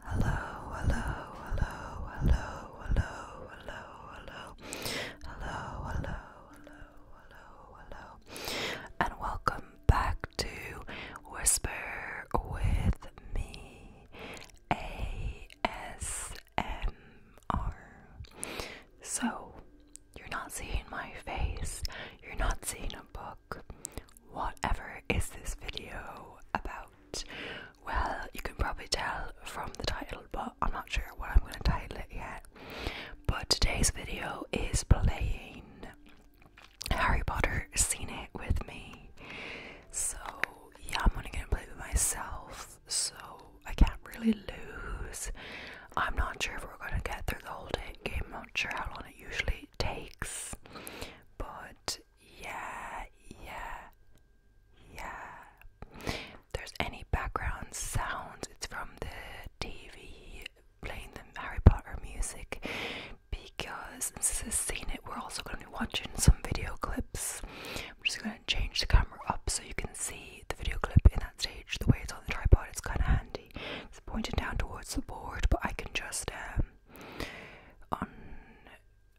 Hello, hello, hello, hello, hello, hello, hello, hello, hello, hello, hello, and welcome back to Whisper with me, ASMR. So, you're not seeing my face. You're not seeing a book. Whatever is this video about? Well, you can probably tell from the title, but I'm not sure what I'm going to title it yet. But today's video is playing Harry Potter scene It With Me. So, yeah, I'm only going to play with myself, so I can't really lose. I'm not sure if we're going to get through the whole game. I'm not sure how long it usually takes. But yeah, yeah, yeah. there's any background sounds, it's from the TV playing the Harry Potter music because since we have seen it, we're also going to be watching some video clips. I'm just going to change the camera up so you can see the video clip in that stage. The way it's on the tripod, it's kind of handy city. It's pointed down towards the board, but I can just um on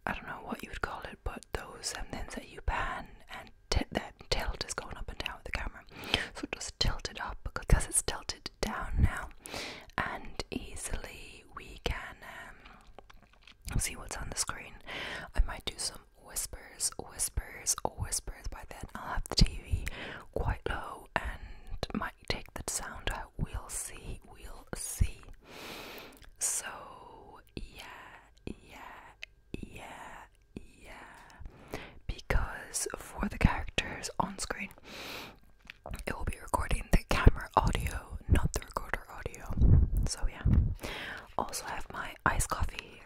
I don't know what you would call it, but those um, things that you pan and t that tilt is going up and down with the camera. So just tilt it up because it's tilted down now, and easily we can um, see what's on the screen. I might do some whisper whispers, or whispers. By then, I'll have the TV quite low and might take the sound out. We'll see, we'll see. So, yeah, yeah, yeah, yeah. Because for the characters on screen, it will be recording the camera audio, not the recorder audio. So, yeah. Also, I have my iced coffee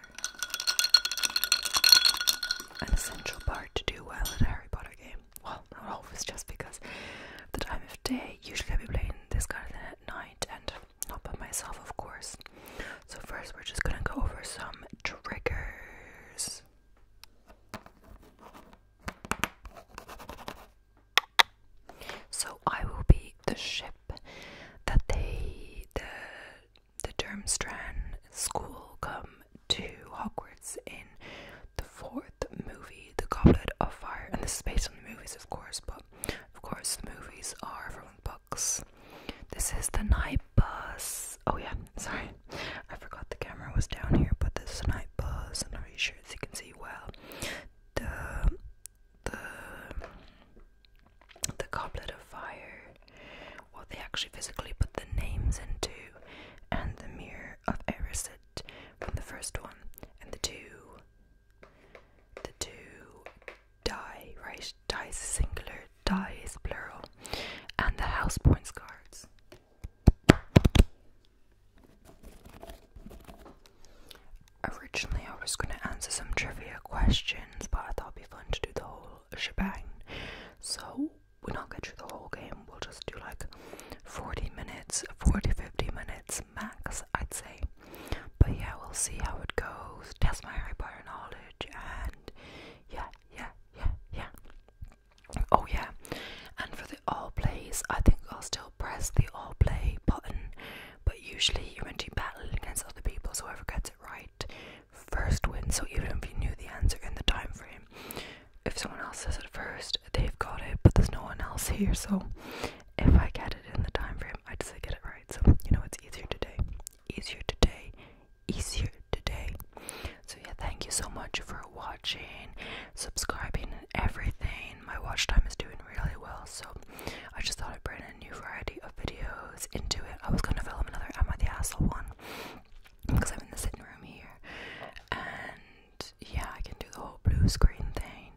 an essential part to do well at a Harry Potter game. Well, I hope it's just because the time of day. Usually, I'll be playing this kind of at night and not by myself, of course. So, first, we're just gonna go over some triggers. So I will be the ship that they the the Durmstrang school come to Hogwarts in the fourth movie, The Goblet of Fire. And this is based on the movies, of course, but of course, the movies are from books. This is the night bus. Oh, yeah, sorry. I forgot the camera was down here, but this is the night bus. and I'm not sure if you can see well. The, the, the Goblet of Fire what they actually physically put the names into, and the mirror of Erisid from the first one, and the two, the two die right, dies singular, Die is plural, and the house points cards. Originally, I was going to answer some trivia questions, but I thought it'd be fun to do the whole shebang. So, we're not get through the whole game. We'll just do like 40 minutes, 40, 50 minutes max, I'd say. But yeah, we'll see how it goes. Test my Harry Potter knowledge and yeah, yeah, yeah, yeah. Oh yeah. And for the all plays, I think I'll still press the all play button. But usually you're meant to be battling against other people, so whoever gets it right first win. So even if you knew the answer in the time frame, if someone else says it first, they've got it, but there's no one else here. So if I get it in the time frame, I just get it right. So you know it's easier today, easier today, easier today. So yeah, thank you so much for watching, subscribing, and everything. My watch time is doing really well, so I just thought I'd bring a new variety of videos into it. I was gonna film another Am I the Asshole one because I'm in the sitting room here, and yeah, I can do the whole blue screen thing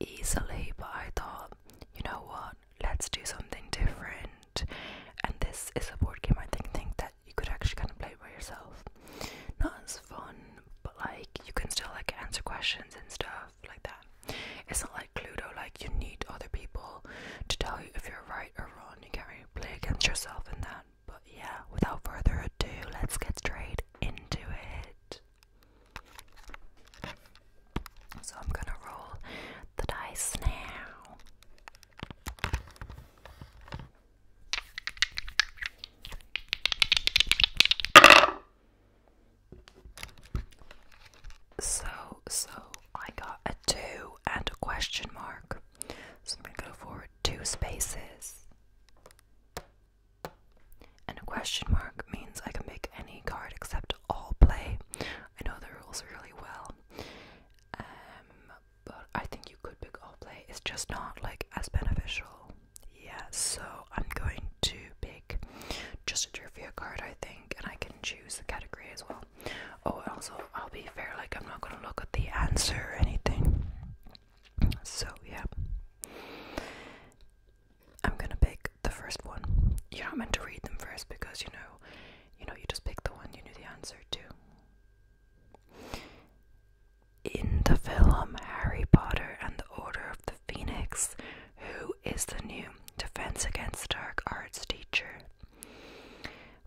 easily. But I thought, you know what, let's do something different. And this is a board game I think, think that you could actually kind of play by yourself. Not as fun, but like you can still like answer questions and stuff like that. It's not like Cluedo, like you need other people to tell you if you're right or wrong. You get me? play against yourself in that. But yeah, without further ado, let's get straight into it. So I'm gonna roll the dice now. So, so I got a two and a question mark. So I'm going to go forward two spaces. And a question mark means I can pick any card except all play. I know the rules really well. Um, but I think you could pick all play. It's just not like as beneficial. Yeah, so I'm going to pick just a trivia card, I think, and I can choose the category as well. Oh, also, I'll be fair, like, I'm not gonna look at the answer or anything. So, yeah. I'm gonna pick the first one. You're not meant to read them first because you know, you know, you just pick the one you knew the answer to. In the film Harry Potter and the Order of the Phoenix, who is the new Defense Against Dark Arts teacher?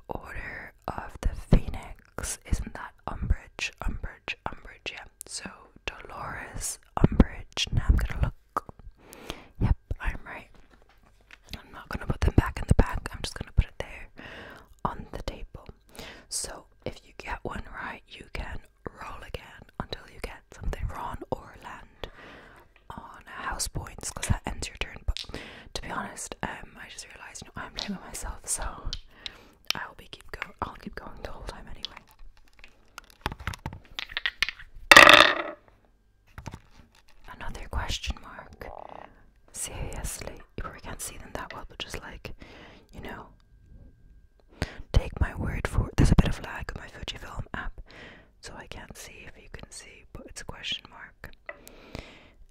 Order of the Phoenix, isn't that Umbridge? Umbridge, Umbridge, yeah. So Dolores Umbridge. Now I'm gonna look. Yep, I'm right. I'm not gonna put them back in the bag, I'm just gonna put it there on the table. So if you get one right, you can roll again until you get something wrong or land on house points because that ends your turn to be honest, um, I just realised I'm blaming myself, so I'll be keep go. I'll keep going the whole time anyway. Another question mark. Seriously, you probably can't see them that well, but just like, you know, take my word for There's a bit of lag on my Fujifilm app, so I can't see if you can see, but it's a question mark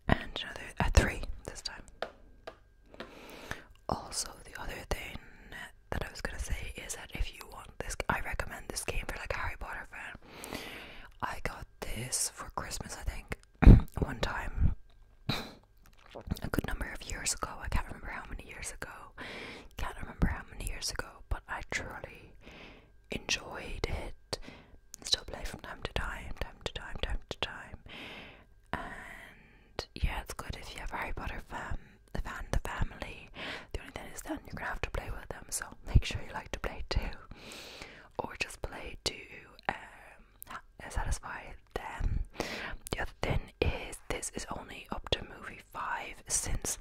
and another at three this time. Also, the other thing that I was gonna say is that if you want this, I recommend this game for like a Harry Potter fan. I got this for Christmas, I think, one time. A good number of years ago, I can't remember how many years ago, can't remember how many years ago, but I truly enjoyed it but still play from time to time, time to time, time to time. And yeah, it's good if you have a Harry Potter fam, fan, the family. The only thing is then you're gonna have to play with them, so make sure you like to play too, or just play to um, satisfy them. The other thing is this is only up to movie five since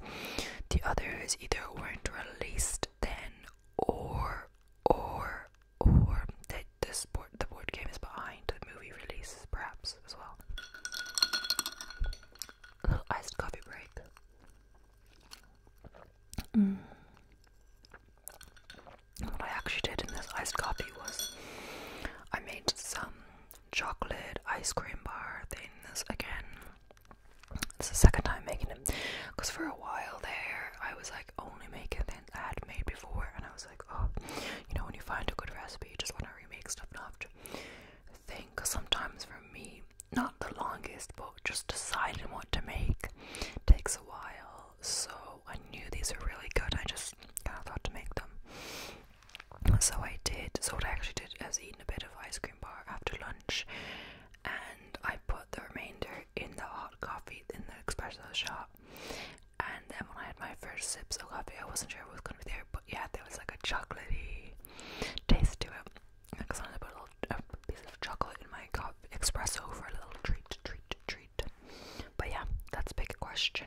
the others either weren't released then or or or that this board, the board game is behind the movie releases, perhaps as well. A coffee break. Mm. What I actually did in this iced coffee was I made some chocolate ice cream bar things again, it's the second time making them, because for a while there I was like only making things I had made before, and I was like, oh, you know, when you find a good recipe, you just want to remake stuff and after thing. sometimes for me, not the longest, but just deciding what to make takes a while. So I knew these were really good. I just kind of thought to make them. So I did. So what I actually did is eating a bit of ice cream bar after lunch, and I put the remainder in the coffee in the espresso shop. And then when I had my first sip of coffee, I wasn't sure what was gonna be there, but yeah, there was like a chocolatey taste to it. Because I wanted to put a piece of chocolate in my cup espresso for a little treat, treat, treat. But yeah, that's a big question.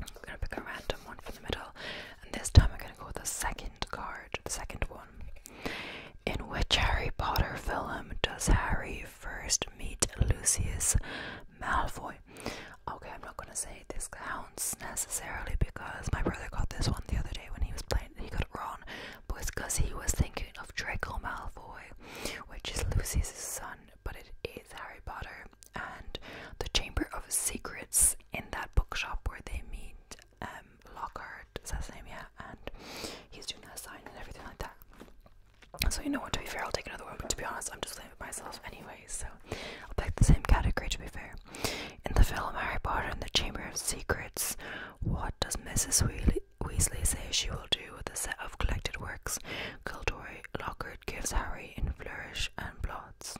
I'm gonna pick a random one from the middle, and this time I'm gonna go with the second card, the second one in which Harry Potter film does Harry first meet Lucius Malfoy? Okay, I'm not gonna say this counts necessarily because my brother got this one the other day when he was playing, he got it wrong, but it's because he was thinking of Draco Malfoy, which is Lucius' son, but it is Harry Potter and the Chamber of Secrets in that bookshop where they meet um, Lockhart, is that his name? Yeah, and he's doing that sign and everything like that. So you know what, to be fair, I'll take another one, but to be honest, I'm just playing with myself anyway, so I'll pick the same category to be fair. In the film Harry Potter and the Chamber of Secrets, what does Mrs. Weasley, say she will do with the set of collected works Gilderoy Lockhart gives Harry in Flourish and blots.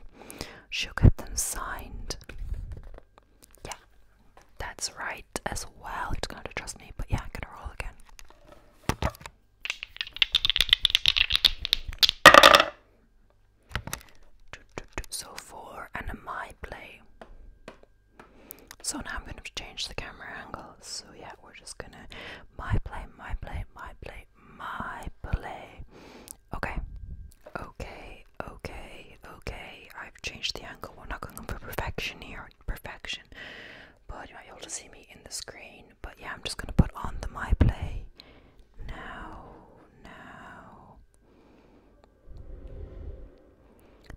She'll get them signed. Yeah, that's right as well. It's gonna trust me, but yeah, I'm gonna roll again. So four and a my play. So now I'm gonna change the camera angle. So yeah, we're just gonna my play, my play, my play, my play. Okay. Okay, okay, okay. I've changed the angle. We're not going for perfection here perfection, but you might be able to see me in the screen. But yeah, I'm just gonna put on the My Play now. Now,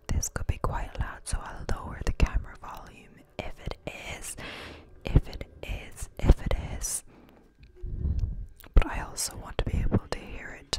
this could be quite loud, so I'll lower the camera volume if it is, if it is, if it is. But I also want to be able to hear it.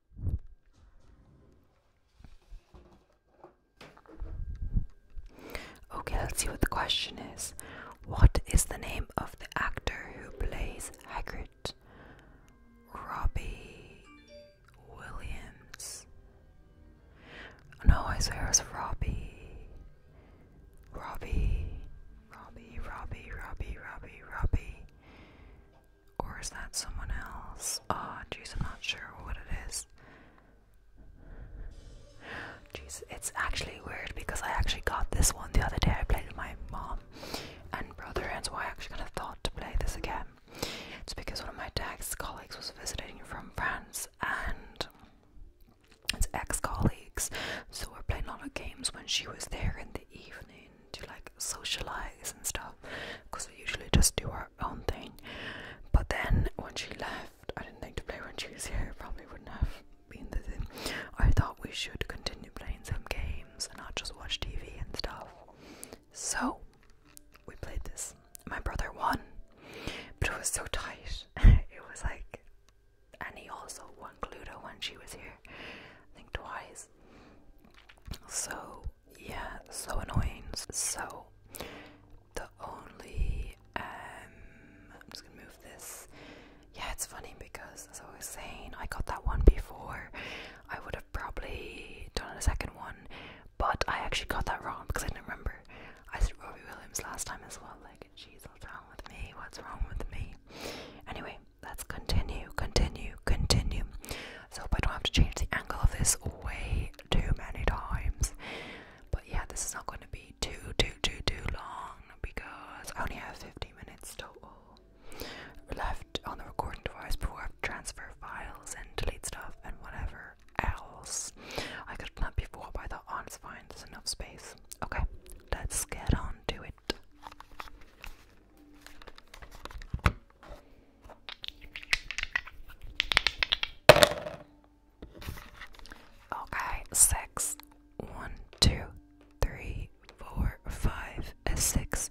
Okay, let's see what the question is. What is the name of the actor who plays Hagrid? Robbie Williams. No, I swear it's Robbie. Robbie. Robbie, Robbie, Robbie, Robbie, Robbie. Or is that someone else? Ah, jeez, I'm not sure what it is. Jeez, it's actually weird because I actually got this one the other day. I played with my mom and brother, and so I actually kind of thought to play this again. It's because one of my dad's colleagues was visiting from France, and it's ex-colleagues, so we're playing a lot of games when she was there in the evening to like socialize and stuff because we usually just do our own thing. But then when she left, I didn't think to play when she was here, probably wouldn't have been the thing. I thought we should continue playing some games and not just watch TV and stuff. So we played this. My brother won, but it was so tight. it was like, and he also won Cluedo when she was here, think twice. So yeah, so annoying. So the only um I'm just gonna move this. Yeah, it's funny because as I was saying, I got that one before. I would have probably done a second one, but I actually got that wrong because I didn't remember. I said Robbie Williams last time as well. Like, jeez, what's wrong with me? What's wrong with me? Anyway, let's continue, continue, continue so I don't have to change the angle of this way too many times. But yeah, this is not going to be too, too, too, too long because I only have 15 minutes total left on the recording device before I have to transfer files and delete stuff and whatever else. I could have done that before, but I thought, oh, it's fine, there's enough space. Okay, let's get on to it. Okay, six. One, two, three, four, five, a six,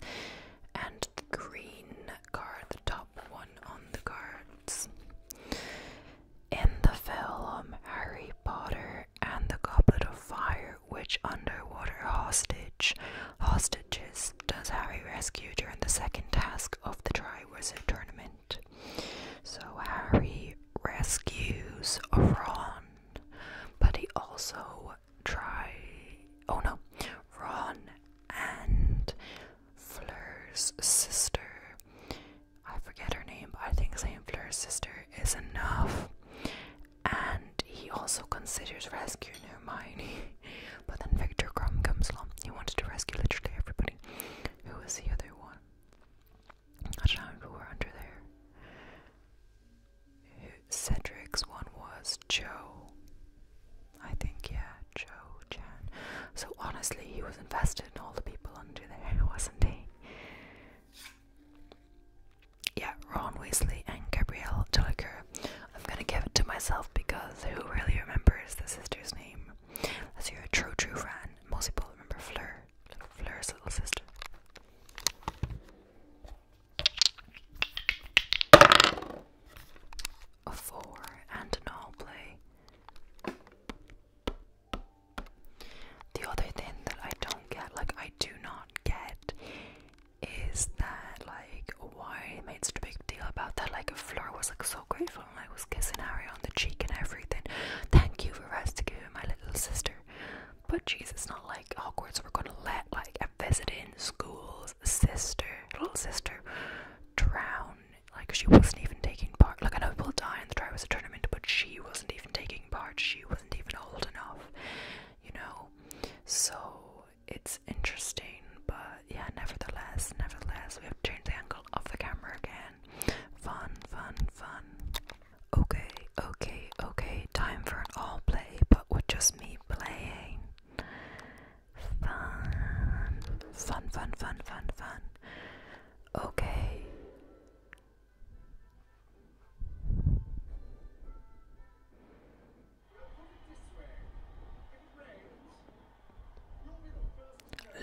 and the green card, the top one on the cards. In the film Harry Potter and the Goblet of Fire, which underwater hostage hostages does Harry rescue during the second task of the Triwizard Tournament. So Harry rescues Ron, but he also tries Oh no, Ron and Fleur's sister. I forget her name, but I think saying Fleur's sister is enough. And he also considers rescuing Hermione. But then Victor Crumb comes along. He wanted to rescue literally everybody. Who was the other one? I don't know who were under there. Cedric's one was Joe. I think, yeah, Joe So honestly, he was invested in all the people under there, wasn't he? Yeah, Ron Weasley and Gabrielle Dilliker. I'm gonna give it to myself because who really remembers the sister's name? name. your us hear a true, true friend. Most people remember Fleur, Fleur's little sister. A four and an all play. The other thing that I don't get, like I do not get, is that like why it made such a big deal about that? Like Fleur was like so grateful Oh, I was kissing Harry on the cheek and everything. Thank you for rescuing my little sister. But jeez, it's not like Hogwarts were gonna let like a visiting school's sister, little sister, drown. Like she wasn't even taking part. Like I know people die in the Triwizard Tournament, but she wasn't even taking part. She wasn't even old enough, you know. So it's interesting, but yeah, nevertheless, nevertheless, we have to change the angle of the camera again. Fun, fun, fun. Okay, okay, okay, time for an all play, but with just me playing. fun, fun, fun, fun, fun. Okay.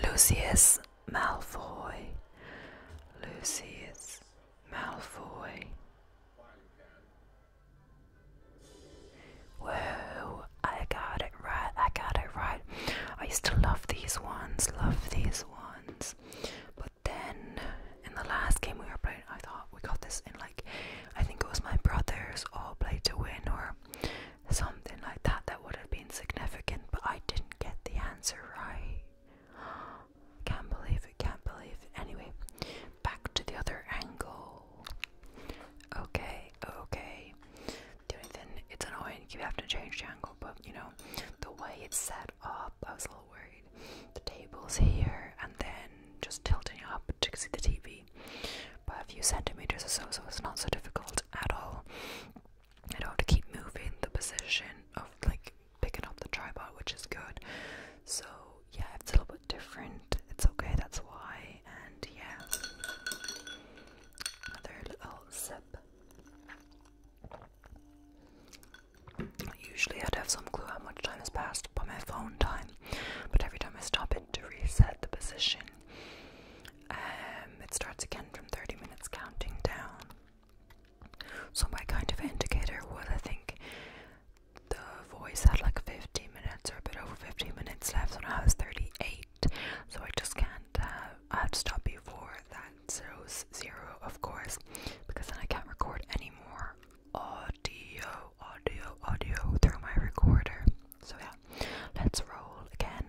Lucius Malfoy, Lucius Malfoy. Whoa, I got it right, I got it right. I used to love these ones, love these ones. But then in the last game we were playing, I thought we got this in like, I think it was my brothers all played to win or Something like that that would have been significant, but I didn't get the answer right. Can't believe it, can't believe it. Anyway, back to the other angle. Okay, okay. The only thing, it's annoying, you have to change the angle, but you know, the way it's set up, I was a little worried. The table's here, and then just tilting up to see the TV by a few centimeters or so, so it's not so difficult at all. I don't have to keep moving the position of like picking up the tripod, which is good. So, yeah, it's a little bit different. It's okay, that's why. And yeah, another little sip. Usually, I'd have some clue how much time has passed by my phone time, but every time I stop it to reset the position, um, it starts again from 30 minutes counting down. So my kind of indicator would I think the voice had like 15 minutes or a bit over 15 minutes left and I was 38. So I just can't uh, I have to stop before that zero zero of course because then I can't record any more audio audio audio through my recorder. So yeah, let's roll again.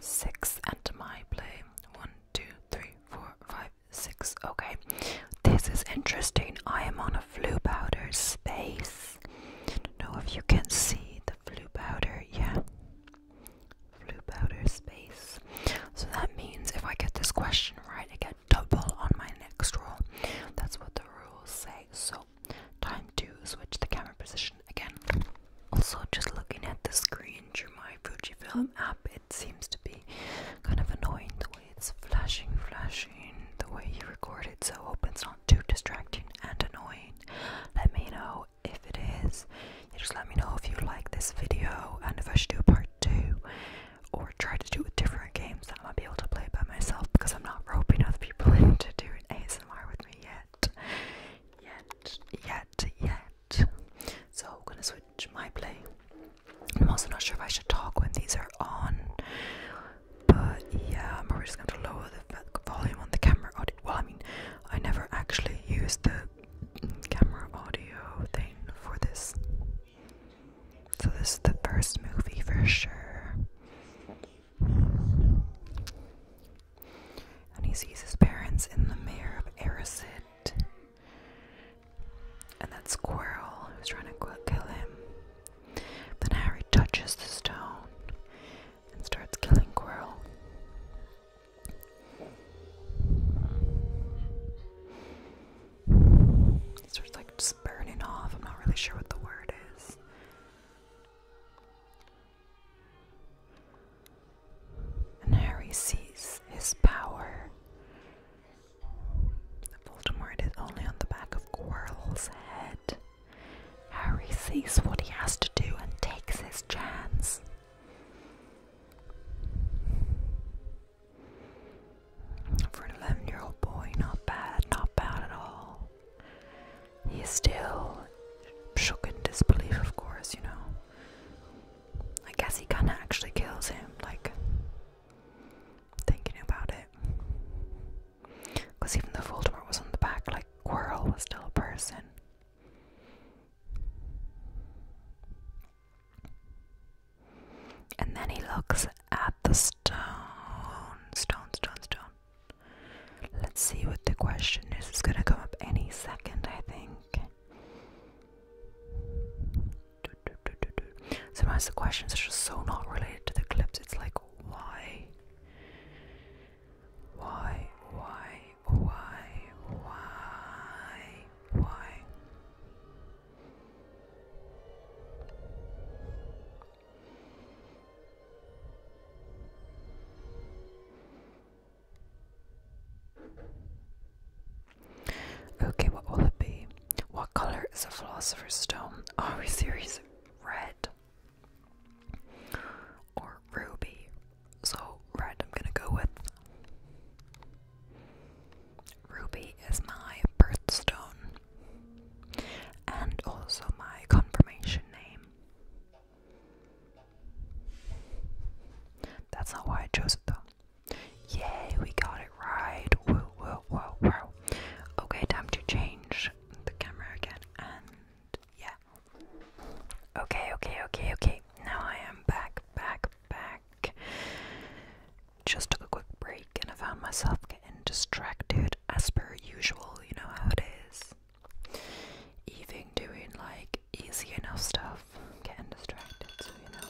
Six and my play. One, two, three, four, five, six. Okay, this is interesting. I am on a flu powder space. Don't know if you can see the flu powder. Yeah, flu powder space. So that means if I get this question right, I get double on my next roll. That's what the rules say. So, time to switch the camera position again. Also, just looking at the screen through my Fujifilm app, it seems to be kind of annoying the way it's flashing, flashing, the way you record it. So, hope it's not too distracting and annoying. Let me know if it is. just let me know if you like this video and if I should do part two or try to do with different games that I am not able to play by myself because I'm not roping other people into doing ASMR with me yet. Yet, yet, yet. So I'm gonna switch my play. I'm also not sure if I should talk when these are on. But yeah, I'm probably just going to lower the volume on the camera audio. Well, I mean, I never actually used the camera audio thing for this so, this is the first movie for sure. And he sees his parents in the mirror of Arisid. And that squirrel who's trying to kill him. Then Harry touches the stone and starts killing Quirrell. It's sort of like just burning off. I'm not really sure what the word is. And Harry sees his power. The Voldemort is only on the back of Quirrell's head. Harry sees what he has to do and takes his chance. For an 11 year old boy, not bad, not bad at all. He still shook in disbelief, of course, you know. I guess he kinda actually kills him, like, thinking about it. Because even though Voldemort was on the back, like, Quirrell was still a person. And then he looks at the stone. Stone, stone, stone. Let's see what the question is. It's gonna come up any second, I think. Sometimes the questions are just so not related to the clips. It's like, why? Why? Why? Why? Why? Why? Okay, what will it be? What color is a philosopher's stone? Are oh, we serious? Red or ruby? So, red, I'm gonna go with. Ruby is my birthstone and also my confirmation name. That's not why I chose it though. Yay, we got it right. Whoa, whoa, whoa, whoa. Okay, time to change the camera again and yeah. Okay, okay, okay, okay. Now I am back, back, back just took a quick break and I found myself getting distracted as per usual, you know how it is. Even doing like easy enough stuff, getting distracted, so you know.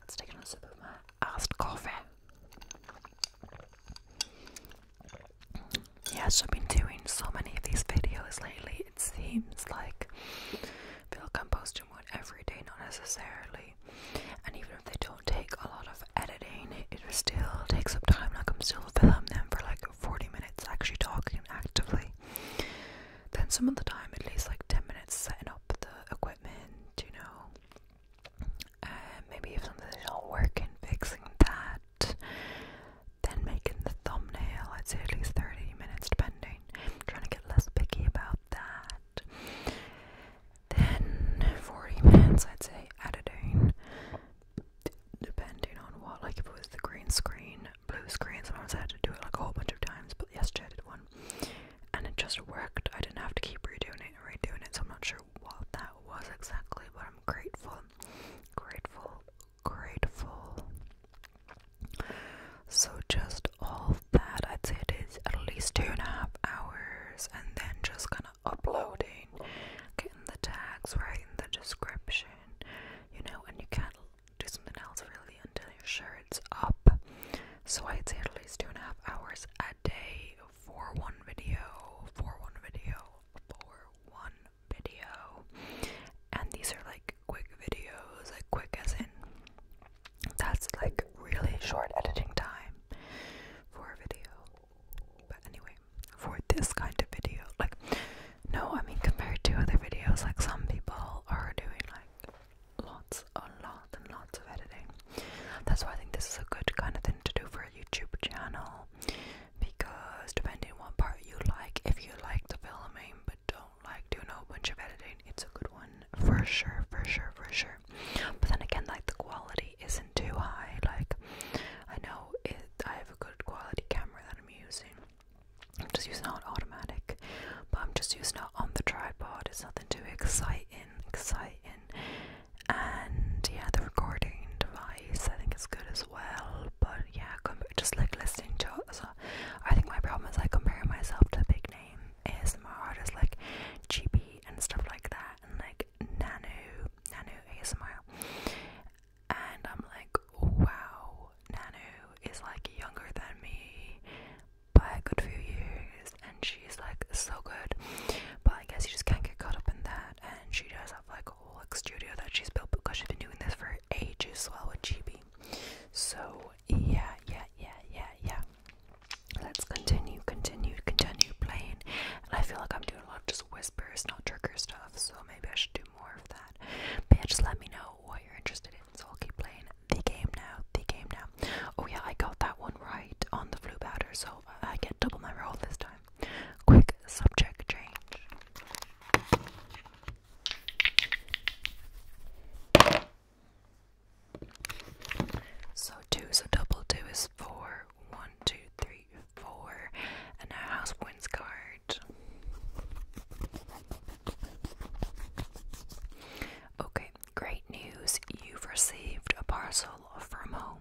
Let's take another sip of my iced coffee. Yes, I've been doing so many of these videos lately, it seems like I feel like I'm every day, not necessarily. And even they don't take a lot of editing, it still takes up time. Like I'm still filming them for like 40 minutes, actually talking actively. Then some of the time, at least like 10 minutes, setting up the equipment, you know. Uh, maybe if something's not working, fixing that. Then making the thumbnail, I'd say at least 30 minutes, depending. I'm trying to get less picky about that. Then 40 minutes, I'd say, editing, depending on what, like if it was the green screen, blue screen, sometimes I had to do it like a whole bunch of times, but yesterday I did one, and it just worked. I didn't have to keep redoing it and redoing it, so I'm not sure what that was exactly, but I'm grateful, grateful, grateful. So, just all that, I'd say it is at least two and a half hours, and then just kind of uploading, getting the tags, right in the description, you know, and you can't do something else really until you're sure it's up. So I'd say at least two and a half hours a day for one video, for one video, for one video. And these are like quick videos, like quick as in that's like really short editing time for a video. But anyway, for this kind of video, like, no, I mean, compared to other videos, like, some people are doing like lots, and lots and lots of editing. That's why I think this is a good kind of thing to do for a YouTube channel because depending what part you like, if you like the filming but don't like doing a whole bunch of editing, it's a good one for sure, for sure, for sure. But then again, like the quality isn't too high. Like I know it, I have a good quality camera that I'm using. I'm just using not automatic, but I'm just using it on the tripod. It's nothing too exciting, exciting. And yeah, the recording device I think is good as well. But yeah, just like listening to I think my problem is I compare myself to big name ASMR artists like GB and stuff like that and like Nano, Nano ASMR, and I'm like, wow, Nano is like younger than me by a good few years, and she's like so good. But I guess you just can't get caught up in that, and she does have like a whole like studio that she's built because she's been doing this for ages, so I would GB. So yeah, yeah, yeah, yeah, yeah. Let's continue, continue, continue playing. And I feel like I'm doing a lot of just whispers, not trigger stuff, so maybe I should do more of that. But let me know what you're interested in, so I'll keep playing the game now, the game now. Oh yeah, I got that one right on the flu batter, so I get double my roll this time. Quick subject change. So two, so double two is four. One, two, three, four. And now house points card. Okay, great news. You've received a parcel from home.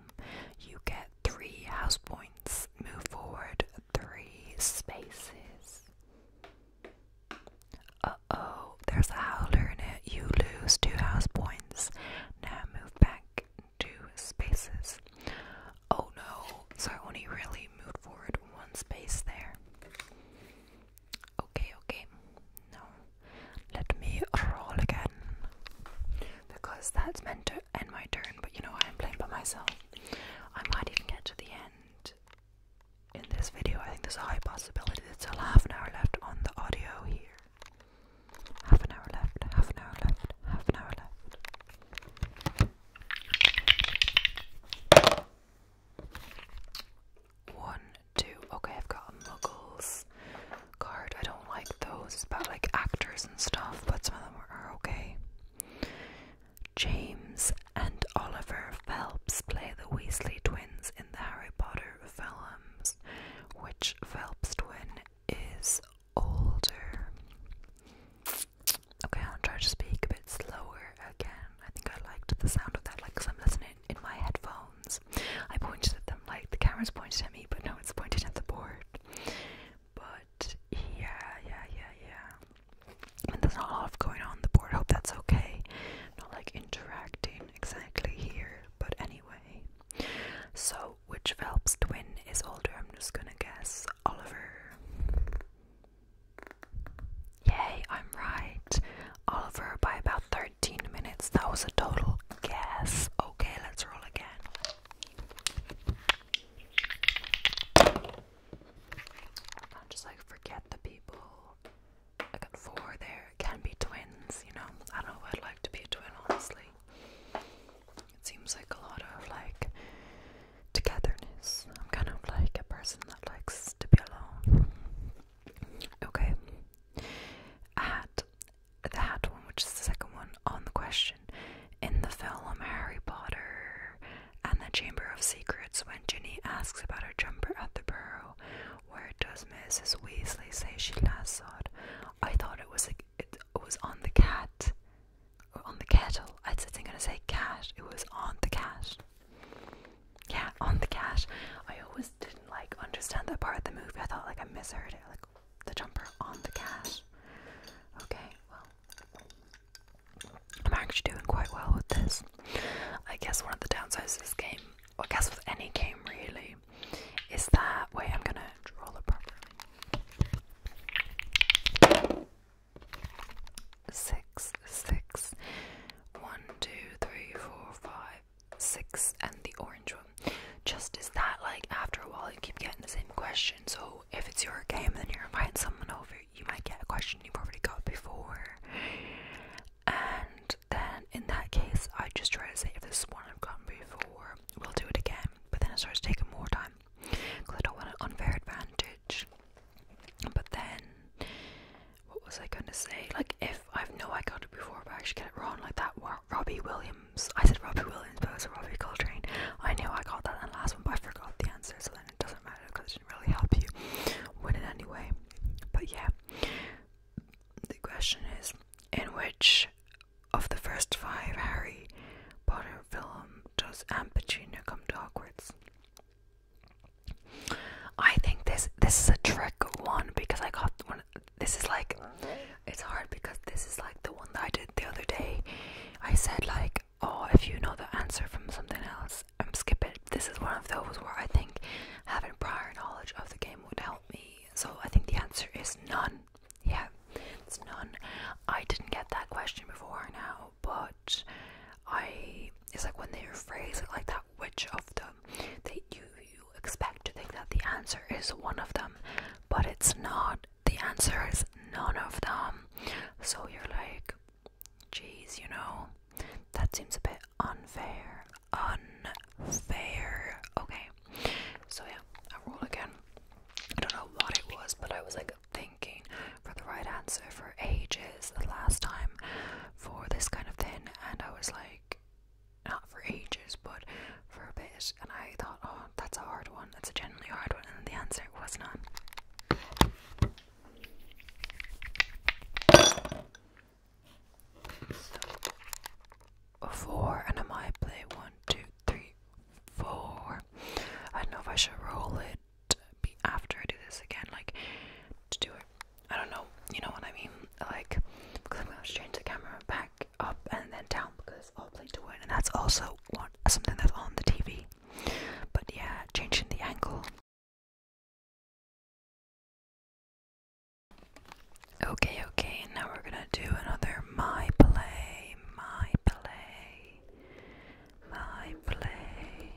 You get three house points. Move forward three spaces. Uh oh, there's a howler in it. You lose two house points. Now move back two spaces. Oh no, so I only really moved forward one space there. Okay, okay. Now, let me roll again. Because that's meant to end my turn, but you know, I'm playing by myself. I might even get to the end in this video. I think there's a high possibility. There's still half an hour left on the audio here. Half an hour left, half an hour left, half an hour left. One, two, okay, I've got Muggles card. I don't like those. It's about like actors and stuff, but some of them are okay. James and Oliver Phelps play the Weasley twins in the Harry Potter films, which Phelps Twin is older. Okay, i am trying to speak a bit slower again. I think I liked the sound of that, like, because I'm listening in my headphones. I pointed at them, like, the camera's pointed at me, but no, it's pointed at the board. But, yeah, yeah, yeah, yeah. And there's not a lot going on the board. hope that's okay. Not, like, interacting exactly here, but anyway. So, which Phelps twin is older? I'm just gonna guess Oliver. Yay, I'm right. Oliver by about 13 minutes. That was a total guess. Okay, let's roll again. i am just like forget the people. I got four there can be twins, you know. I know I'd like to be a twin, honestly. It seems like a lot of like togetherness. I'm kind of like a person that likes to be alone. Okay. At the hat one, which is the second one on the question. In the film Harry Potter and the Chamber of Secrets, when Ginny asks about her jumper at the burrow, where does Mrs. Weasley say she last saw it? I thought it was a, it, was on the cat, on the kettle. I was not gonna say cat. It was on the cat. Yeah, on the cash. I always didn't like understand that part of the movie. I thought like I misheard it. Like the jumper on the cash. Okay, well, I'm actually doing quite well with this. I guess one of the downsides of this game, or I guess with any game really, is that wait i'm gonna draw the proper six six one two three four five six and the orange one just is that like after a while you keep getting the same question so if it's your game then you're inviting someone over you might get a question you've already got before and then in that case, I just try to say if this is one I've gotten before, we'll do it again. But then it starts taking more time because I don't want an unfair advantage. But then, what was I going to say? Like, if I know I got it before, but I actually get it wrong, like that Robbie Williams. I said Robbie Williams, but it was Robbie Coltrane. I knew I got that last one, but I forgot the answer, so then it doesn't matter because it didn't really help you win it anyway. But yeah, the question is in which of the first five Harry Potter film does Aunt Petunia come to Hogwarts? I think this this is a trick one because I got one. This is like it's hard because this is like the one that I did the other day. I said like, oh, if you know the answer from something else, um, skip it. This is one of those where I think having prior knowledge of the game would help me so I think the answer is none. Yeah, it's none. I didn't get that question before now, but I it's like when they rephrase it like that, which of them They you you expect to think that the answer is one of them, but it's not. The answer is none of them. So you're like, geez, you know, that seems a bit unfair unfair. Okay, so yeah, I rolled again. I don't know what it was, but I was like thinking for the right answer for ages the last time for this kind of thing, and I was like, not for ages, but for a bit, and I thought, oh, that's a hard one, that's a genuinely hard one, and the answer was none four, and I might play one, two, three, four. I don't know if I should roll it after I do this again, like to do it. I don't know, you know what I mean? Like, because I'm gonna change the camera back up and then down because I'll play to win, and that's also one something that's on the TV. But yeah, changing the angle. Okay, okay, and now we're gonna do another my play, my play, my play.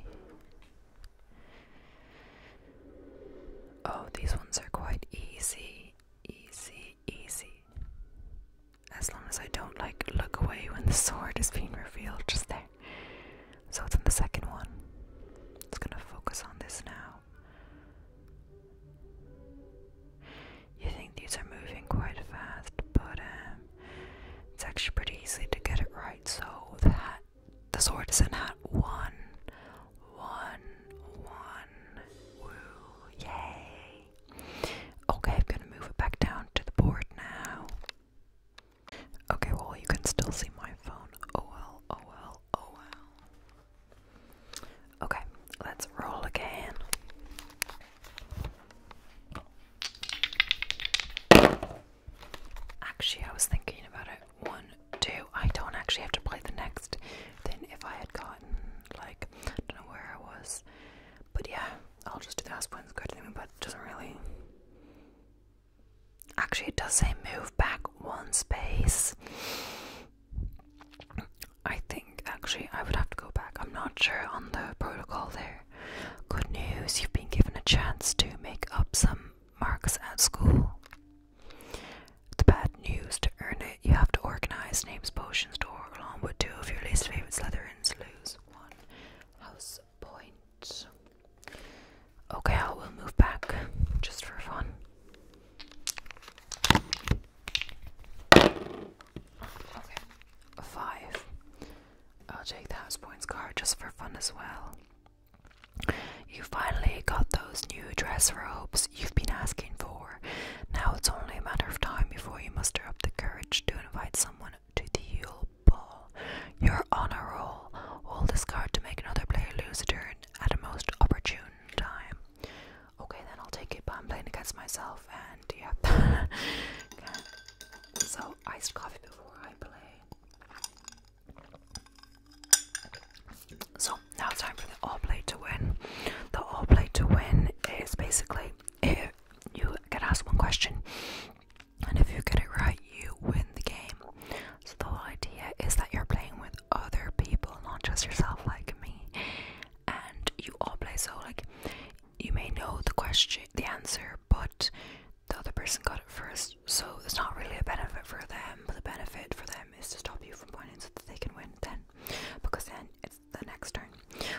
Oh, these ones are quite easy, easy, easy. As long as I don't like look away when the sword is being revealed, just there. So it's on the second one. It's gonna focus on this now. You think these are moving quite fast, but um, it's actually pretty easy to get it right. So the hat, the sword is in hat one, one, one. Woo! Yay! Okay, I'm gonna move it back down to the board now. Okay, well you can still see my phone. Oh well, oh, oh Okay, let's roll again. Actually, I was thinking about it. One, two. I don't actually have to play the next thing if I had gotten, like, I don't know where I was. But yeah, I'll just do the last one's good thing, but doesn't really. Actually, it does say move back one space. I think actually I would have to go back. I'm not sure on the protocol there. Good news, you've been given a chance to make up some marks at school. The bad news to earn it, you have to organize names, potions, to door, on with two of your least favorite Slytherins. Lose one house point. Okay, I will move back just for fun. Okay, five. I'll take the house points card just for fun as well. You finally got those new dress robes you've been asking for. Now it's only a matter of time before you muster up the courage to invite someone to the Yule Ball. Your honor roll. Hold this card to make another player lose a turn at a most opportune time. Okay, then I'll take it, but I'm playing against myself, and yeah. So, iced coffee before I play. So, now it's time for the all play to win. The all play to win is basically if you get asked one question, and if you get it right, you win the game. So, the whole idea is that you're playing with other people, not just yourself like me. And you all play so like you may know the question the answer, but the other person got it first, so it's not really a benefit for them, but the benefit for them is to stop you from winning, so that they can win then. Because then it's the next turn.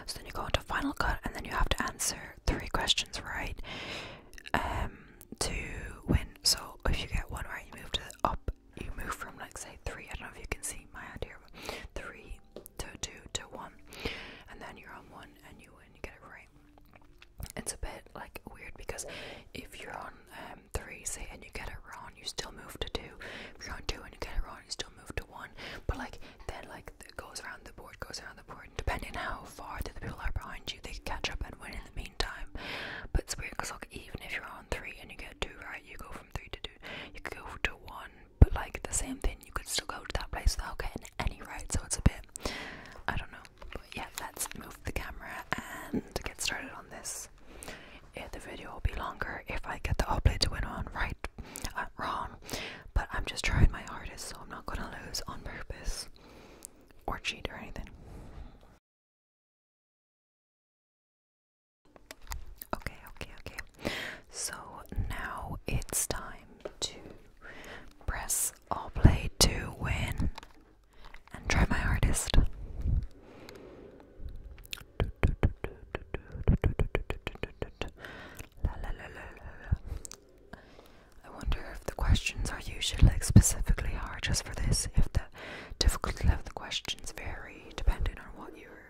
So then you go into final cut and then you have to answer three questions right um, to win. So if you get one right you move to the up you move from like say three, I don't know if you can see my hand here, three to two to one, and then you're on one and you win, you get it right. It's a bit like weird because if you're on um, three, say, and you get it wrong, you still move to two. If you're on two and you get it wrong, you still move to one. But like then, like it goes around the board, goes around the board, and depending how far the people are behind you, they can catch up and win in the meantime. But it's weird because like even if you're on three and you get two right, you go three to two. You could go to one, but like the same thing, you could still go to that place without getting any right. So it's a bit, I don't know. But yeah, let's move the camera and get started on this. Yeah, the video will be longer if I get the upload to win on right, uh, wrong. But I'm just trying my hardest, so I'm not gonna lose on purpose or cheat or anything. Okay, okay, okay. So now it's time to press all play to win and try my hardest. I wonder if the questions are usually like specifically hard just for this, if the difficulty of the questions vary depending on what you're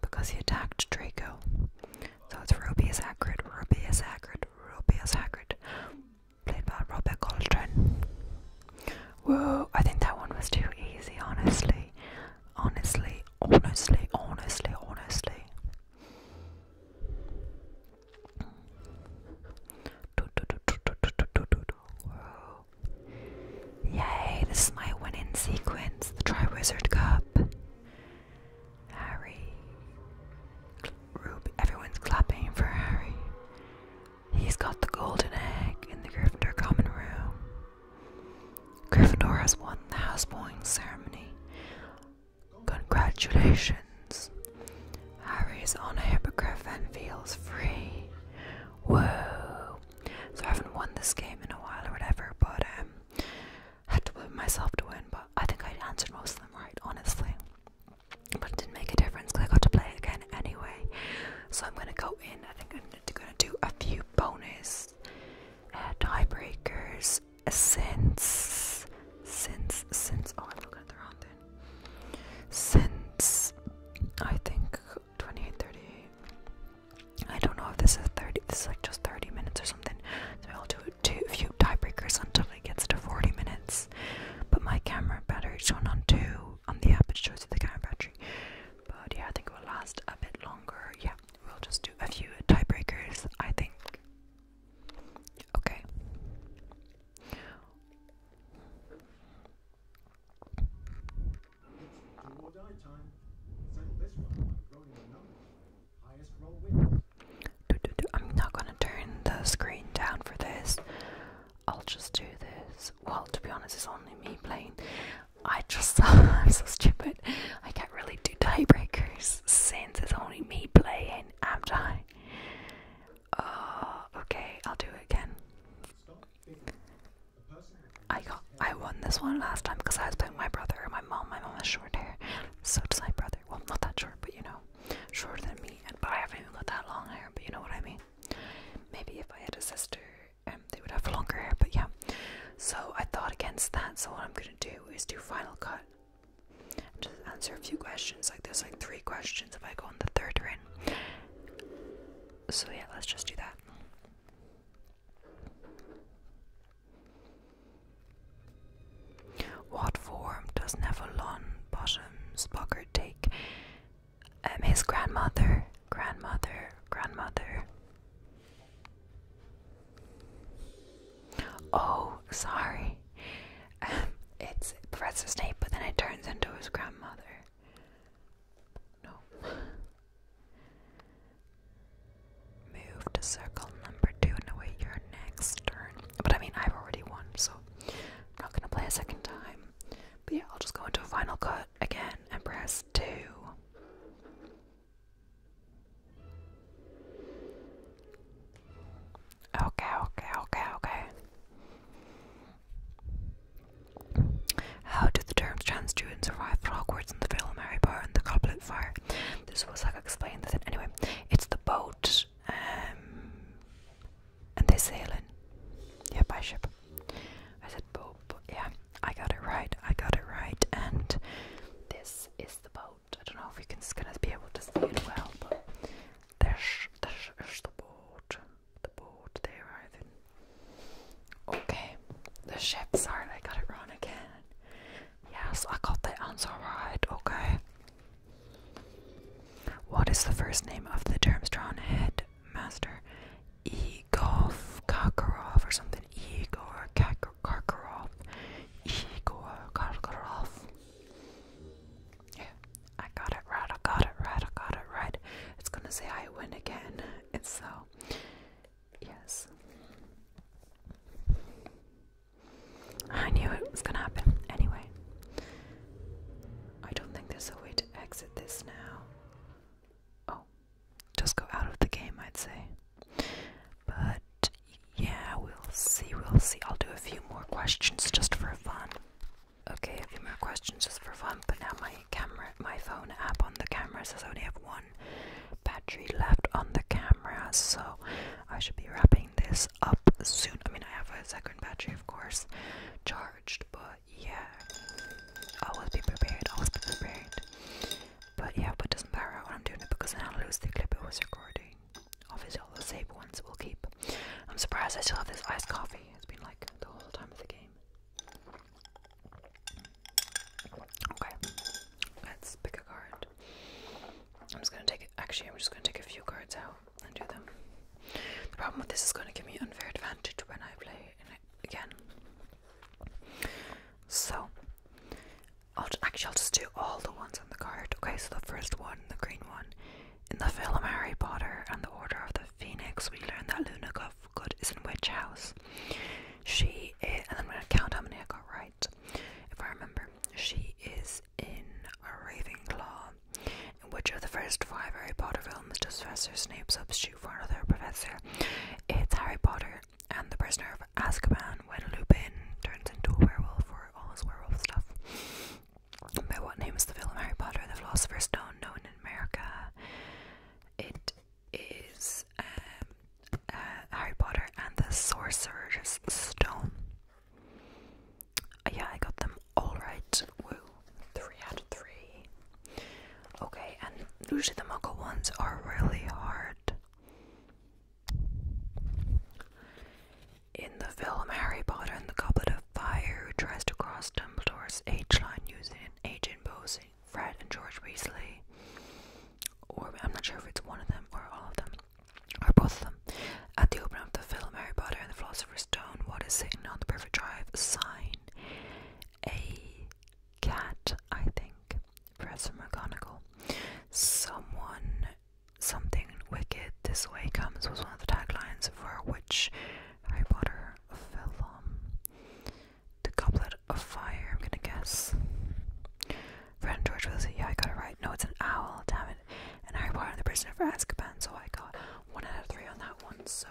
because he attacked Draco. So it's Rubius Hagrid, Rubius Hagrid, Rubius Hagrid, played by Robert Coltrane. Whoa, I think that one was too easy, honestly. Honestly, honestly, honestly, honestly. Whoa. Yay, this is my winning sequence, the Triwizard Cup. Harry. Everyone's clapping for Harry. He's got the golden egg in the Gryffindor common room. Gryffindor has won the house houseboying ceremony. Congratulations. Harry is on a hippogriff and feels free. Whoa. So I haven't won this game in a while or whatever, but um, had to blame myself to win, but I think I answered most of them right, honestly. But it didn't make a difference because I got to play it again anyway. So I'm gonna go in. I think I'm gonna do a few bonus uh, tiebreakers since since since oh I'm looking at the wrong thing. Since I think 28, 30. I don't know if this is 30. This is like just 30 minutes or something. So I'll do it a few tiebreakers until it gets to 40 minutes. But my camera battery going on two on the app it shows you the camera battery. But yeah, I think it will last a bit longer. Yeah, we'll just do a few tiebreakers, I think. Okay. I'm not gonna turn the screen down for this. I'll just do this. Well, to be honest, it's only me playing. I just I'm so stupid. I can't really do tiebreakers since it's only me playing, am I? Uh, okay, I'll do it again. I got I won this one last time because I was playing my brother my mom. My mom has short hair. So does my brother. Well, not that short, but you know, shorter than me. And but I haven't even got that long hair. But you know what I mean. Maybe if I had a sister, um, they would have longer hair. But yeah. So I thought against that. So what I'm gonna do is do Final Cut. And just answer a few questions. Like there's like three questions. If I go on the third are So yeah, let's just do that. What form does Nevalon Bottom Spocker take? Um, his grandmother, grandmother, grandmother. Oh, sorry. Um, it's Professor Snape, but then it turns into his grandmother. No. Move to circle number two and await your next turn. But I mean, I've already won, so I'm not gonna play a second time. But yeah, I'll just go into a final cut again and press two. Okay, okay, okay, okay. How do the terms trans students survive Hogwarts in the film Harry the Goblet Fire? This was like explained that anyway. It's the boat, um, and they are sailing. Yeah, by ship. I said boat, but yeah, I got it right. I got it right, and this is the boat. I don't know if you can be able to see it well, but there's there's the boat, the boat. They arrive in. Okay, the ships. Sorry, I got it wrong again. Yes, I got the answer right. Okay. What is the first name of the Termstron headmaster? Igor Kakarov or something. Igor Kakar Karkarov. Igor Karkarov. Yeah, I got it right. I got it right. I got it right. It's gonna say I win again. And so. Yes. I knew it was gonna happen. Anyway, I don't think there's a way to exit this now. Oh, just go out of the game, I'd say. But yeah, we'll see, we'll see. I'll do a few more questions just for fun. Okay, a few more questions just for fun, but now my camera, my phone app on the camera says I only have one battery left on the camera, so I should be wrapping this up soon. I mean, I have a second battery, of course, charged, but yeah, always be prepared, always be prepared. But yeah, but it doesn't matter when I'm doing it because then I'll lose the clip it was recording. Obviously, all the save ones we'll keep. I'm surprised I still have this iced coffee, it's been like the whole time of the game. Okay, let's pick a card. I'm just gonna take actually I'm just gonna take a few cards out and do them. The problem with this is gonna give me unfair advantage when I play it again. So I'll actually I'll just do all the ones on the card. Okay, so the first one, the green one. In the film Harry Potter and the Order of the Phoenix, we learn that Luna Good is in which House. She is, and I'm gonna count how many I got right, if I remember. She is in a Ravenclaw, in which of the first five Harry Potter films does Professor Snape substitute for another professor? It's Harry Potter and the Prisoner of Azkaban when Lupin turns into a werewolf for all his werewolf stuff. By what name is the film Harry Potter and the Philosopher's Stone known in America? It is um, uh, Harry Potter and the Sorcerer's Stone. yeah, I got them all right. Woo, three out of three. Okay, and usually the Muggle ones are really hard. In the film Harry Potter and the Goblet of Fire, who tries to cross Dumbledore's age line using an agent posing Fred and George Weasley, or I'm not sure if it's one of them or all of them or both of them. At the opening of the film Harry Potter and the Philosopher's Stone, what is sitting on the perfect drive? Sign. A cat, I think. Professor McGonagall. Someone, something wicked this way comes was one of the taglines for which Harry Potter film. The couplet of Fire, I'm gonna guess. Friend George was like, yeah, I got it right. No, it's an owl, damn it. And Harry Potter and the Prisoner of Azkaban, so I got one out of three on that one, so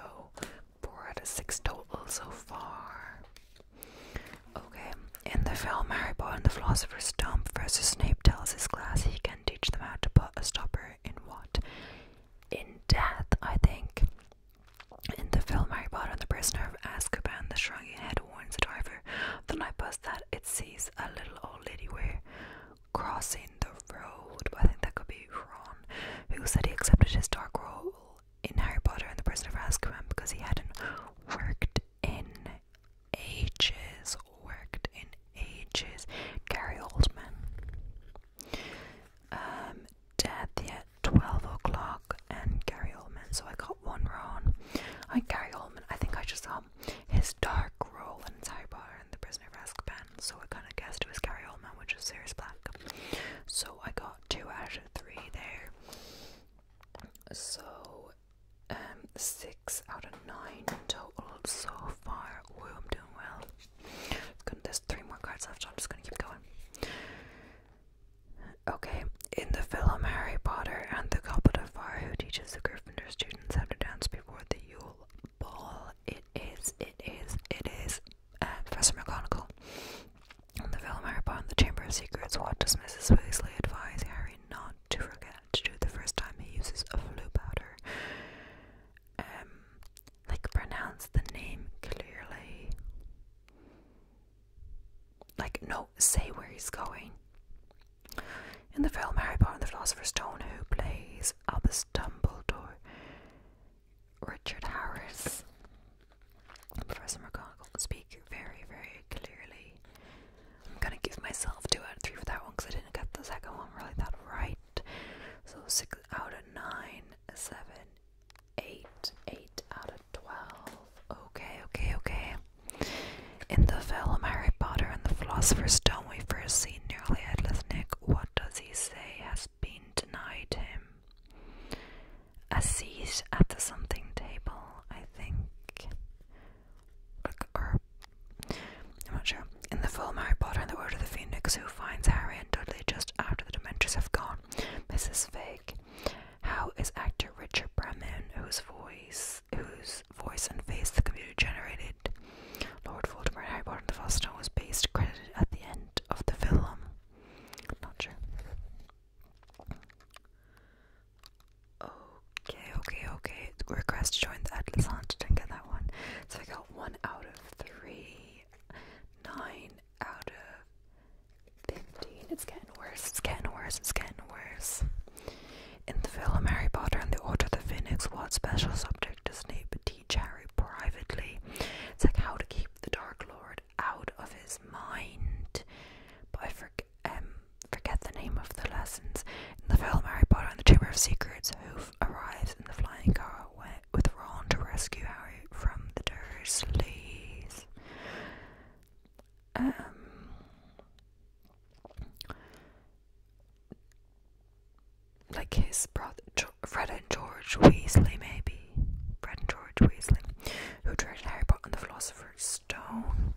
four out of six total so far. Okay, in the film Harry Potter and the Philosopher's Stone, Professor Snape tells his class he can teach them how to put a stopper in what? In death, I think. In the film Harry Potter and the Prisoner of Azkaban, the shrunken head warns the driver of the night bus that it sees a little old lady where crossing the road, I think that could be Ron, who said he accepted his dark role in Harry Potter and the Prisoner of Azkaban because he hadn't worked in ages, worked in ages. Gary Oldman. Um, at 12 o'clock and Gary Oldman, so I got one wrong. I Gary Oldman, I think I just saw um, his dark role in Sidebar and The Prisoner of Azkaban, so I kind of guessed it was Gary Oldman, which was serious Black. So I got two out of three there. So, um, six out of nine total so far. Woo, I'm doing well. there's three more cards left, so I'm just gonna keep going. Okay, in the film Harry Potter and the Goblet of Fire, who teaches the Gryffindor students how to dance before the Yule Ball? It is, it is, it is uh, Professor McGonagall. In the film Harry Potter and the Chamber of Secrets, what does Mrs. Weasley advise Harry not to forget to do the first time he uses a flu powder? Um, like pronounce the name clearly. Like, no say where he's going. In the film Harry Potter and the Philosopher's Stone, who plays Albus Dumbledore? Richard Harris. Professor McGonagall speak very, very clearly. I'm gonna give myself two out of three for that one because I didn't get the second one really that right. So six out of nine, seven, eight, eight out of twelve. Okay, okay, okay. In the film Harry Potter and the Philosopher's Stone, we first see nearly headless Nick. What does he say has been denied him? A seat at the something table, I think. Like, I'm not sure. In the film Harry Potter and the Order of the Phoenix, who finds Harry and Dudley just after the Dementors have gone? This is fake. How is actor Richard Bremen, whose voice whose voice and face the computer generated. Lord Voldemort, Harry Potter and the Philosopher's was based credited at the end of the film. Not sure. Okay, okay, okay. Request to join the Atlas Didn't get that one. So I got one out of three, nine out of fifteen. It's getting worse. It's getting worse. It's getting worse. In the film Harry Potter and the Order of the Phoenix, what special subject does Snape teach Harry privately? It's like how to keep the Dark Lord out of his mind. But I um, forget, the name of the lessons. In the film Harry Potter and the Chamber of Secrets, who arrives in the flying car with Ron to rescue Harry from the Dursleys. Um, like his brother Fred and George Weasley, maybe Fred and George Weasley, who directed Harry Potter and the Philosopher's Stone.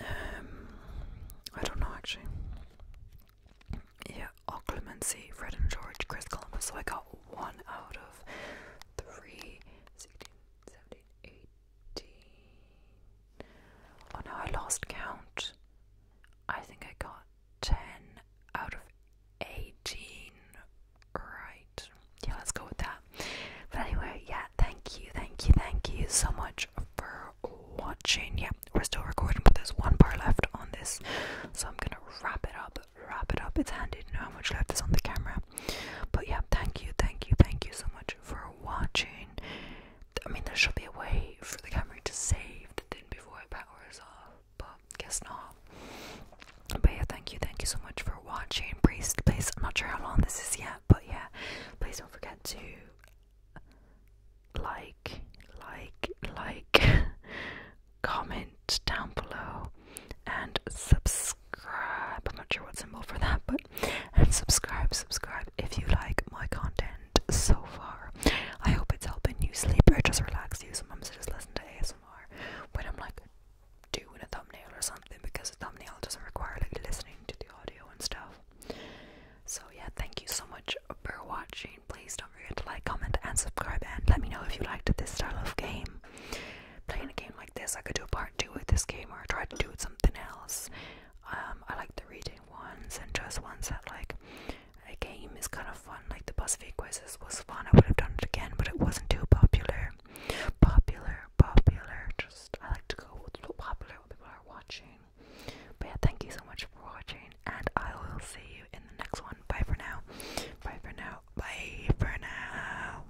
Um, I don't know actually. Yeah, Occlumency, Fred and George, Chris Columbus. So I got one out of three. 16, Oh no, I lost count. I think I got 10 out of 18. Right. Yeah, let's go with that. But anyway, yeah, thank you, thank you, thank you so much for watching. Yeah, we're still recording, but there's one bar left on this. So I'm gonna wrap it up, wrap it up. It's handy No, how much left is on the camera. But yeah, thank you, thank you, thank you so much for watching. I mean, there should be a way for the camera to save the thing before it powers off, but guess not. But yeah, thank you, thank you so much for watching. Please, please, I'm not sure how long this is yet, but yeah, please don't forget to like, like, like, comment down below, and subscribe subscribe. I'm not sure what symbol for that, but and subscribe, subscribe if you like my content so far. I hope it's helping you sleep or just relax you. Sometimes I just listen to ASMR when I'm like doing a thumbnail or something because a thumbnail doesn't require like listening to the audio and stuff. So yeah, thank you so much for watching. Please don't forget to like, comment, and subscribe, and let me know if you liked this style of game. Playing a game like this, I could do a part do with this game or try to do with something else. Um, I like the reading ones and just ones that like a game is kind of fun. Like the BuzzFeed quizzes was fun. I would have done it again, but it wasn't too popular. Popular, popular. Just I like to go with popular, what people are watching. But yeah, thank you so much for watching, and I will see you in the next one. Bye for now. Bye for now. Bye for now.